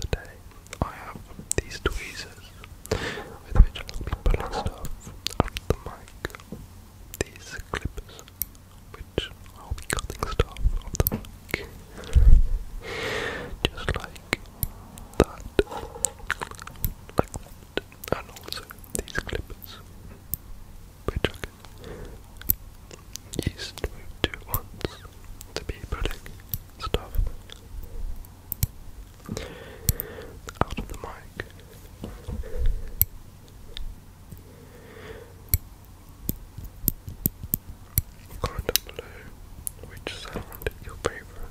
Today I have these tweezers with which I'll be pulling stuff at the mic. These clippers which I'll be cutting stuff off the mic. Just like that. Like that. And also these clippers we took yeast moved to once to be putting stuff out of the mic. Comment down which sound is your favorite.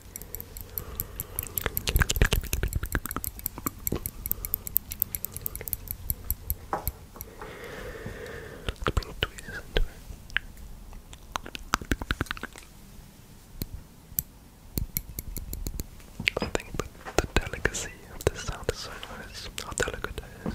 bring tweezers into it. I think the, the delicacy of this sound is so nice, how delicate it is.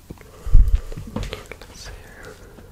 Let's see here. Okay.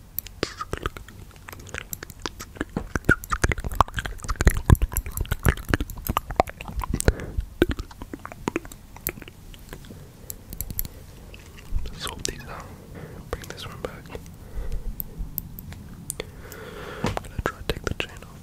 Solve these out. Bring this one back. I'm gonna try to take the chain off.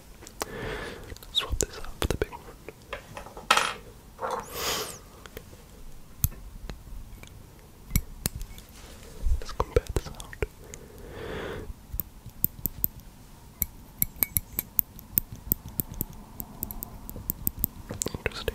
Swap this up for the big one. Let's compare the sound. Interesting.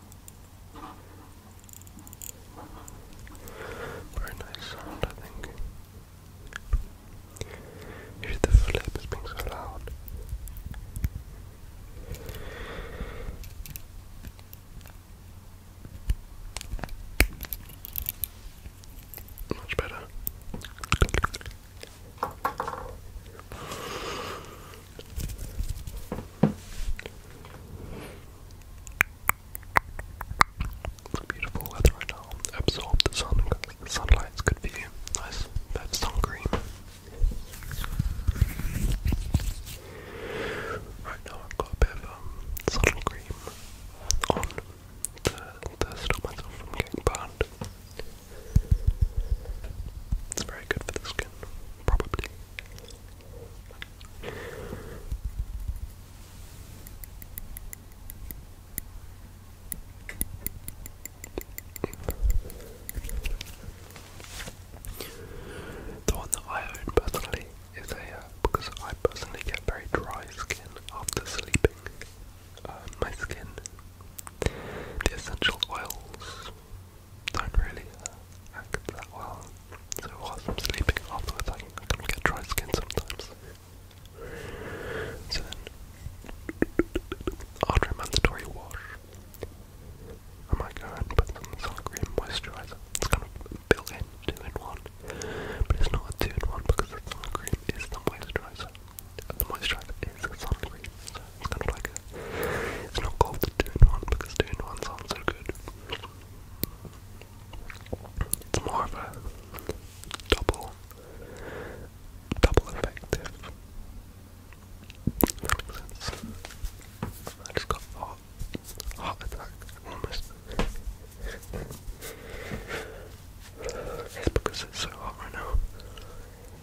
Very nice sound, I think. If the flip being so loud. Much better beautiful weather right now. Absorb the sun. sunlight's good for you. Nice. That's sun cream. Right now I've got a bit of um, sun cream on to, to stop myself from getting burned. It's very good for the skin, probably. The one that I own personally is a uh, because I personally get very dry skin after sleeping. Uh, my skin, the essential oils don't really uh, act that well. So whilst I'm sleeping afterwards, I, I can get dry skin sometimes. So after a mandatory wash, I might go and put some sun moisturizer. It's kind of built in, two in one, but it's not two in one because the sun is the moisturizer the moisturizer is sunscreen, so it's kind of like it's not called the 2 one because two-in-one sounds so good. It's more of a double, double effective. makes sense. I just got a heart, attack almost. it's because it's so hot right now.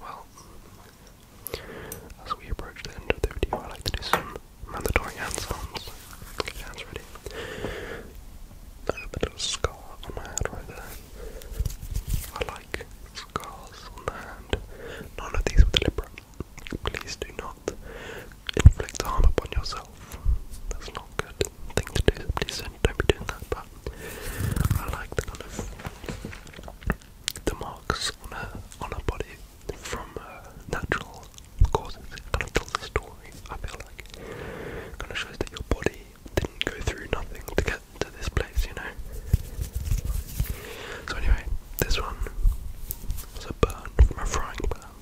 Well, as we approach the end of the video, I like to do some mandatory hands-ons. hands ready. a bit scar on my hand right there. I like scars on the hand. None of these were deliberate. Please do not inflict harm upon yourself. That's not good thing to do. Please don't be doing that. But I like the kind of the marks on her on her body from natural causes it kind of tells a story, I feel like. gonna show us that your body didn't go through nothing to get to this place, you know? So anyway, this one was a burn from a frying pan.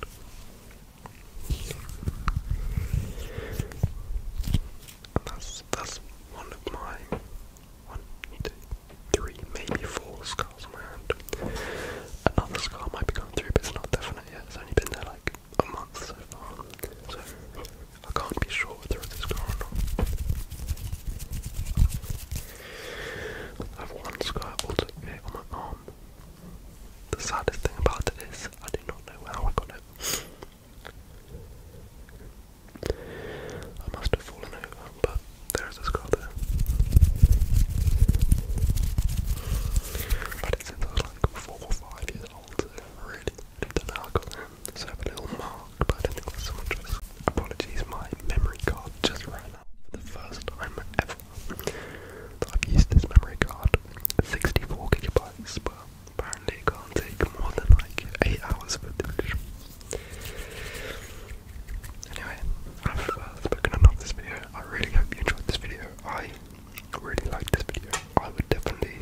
And that's that's one of my one, two, three, maybe four scars on my hand. Another scar might be going through, but it's not definite yet. It's only been there like a month so far, so I can't be sure whether it's a or not. I have one scar also here on my arm. The saddest thing about it is I do not know how I got it. I must have fallen over but there's a skull there. But it's since I was like four or five years old, really do I got there. So little mark, but I don't think so much risk. Apologies, my memory card just ran out the first time ever. That I've used this memory card, 64 gigabytes, but apparently can't take more than like 8 hours of it. Anyway, I've spoken enough this video. I really hope you enjoyed this video. I really liked this video. I would definitely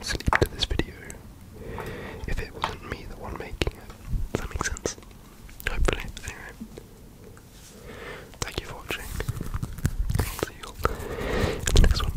sleep to this video if it wasn't me the one making it. Does that make sense? Hopefully. Anyway, thank you for watching. see you in the next one.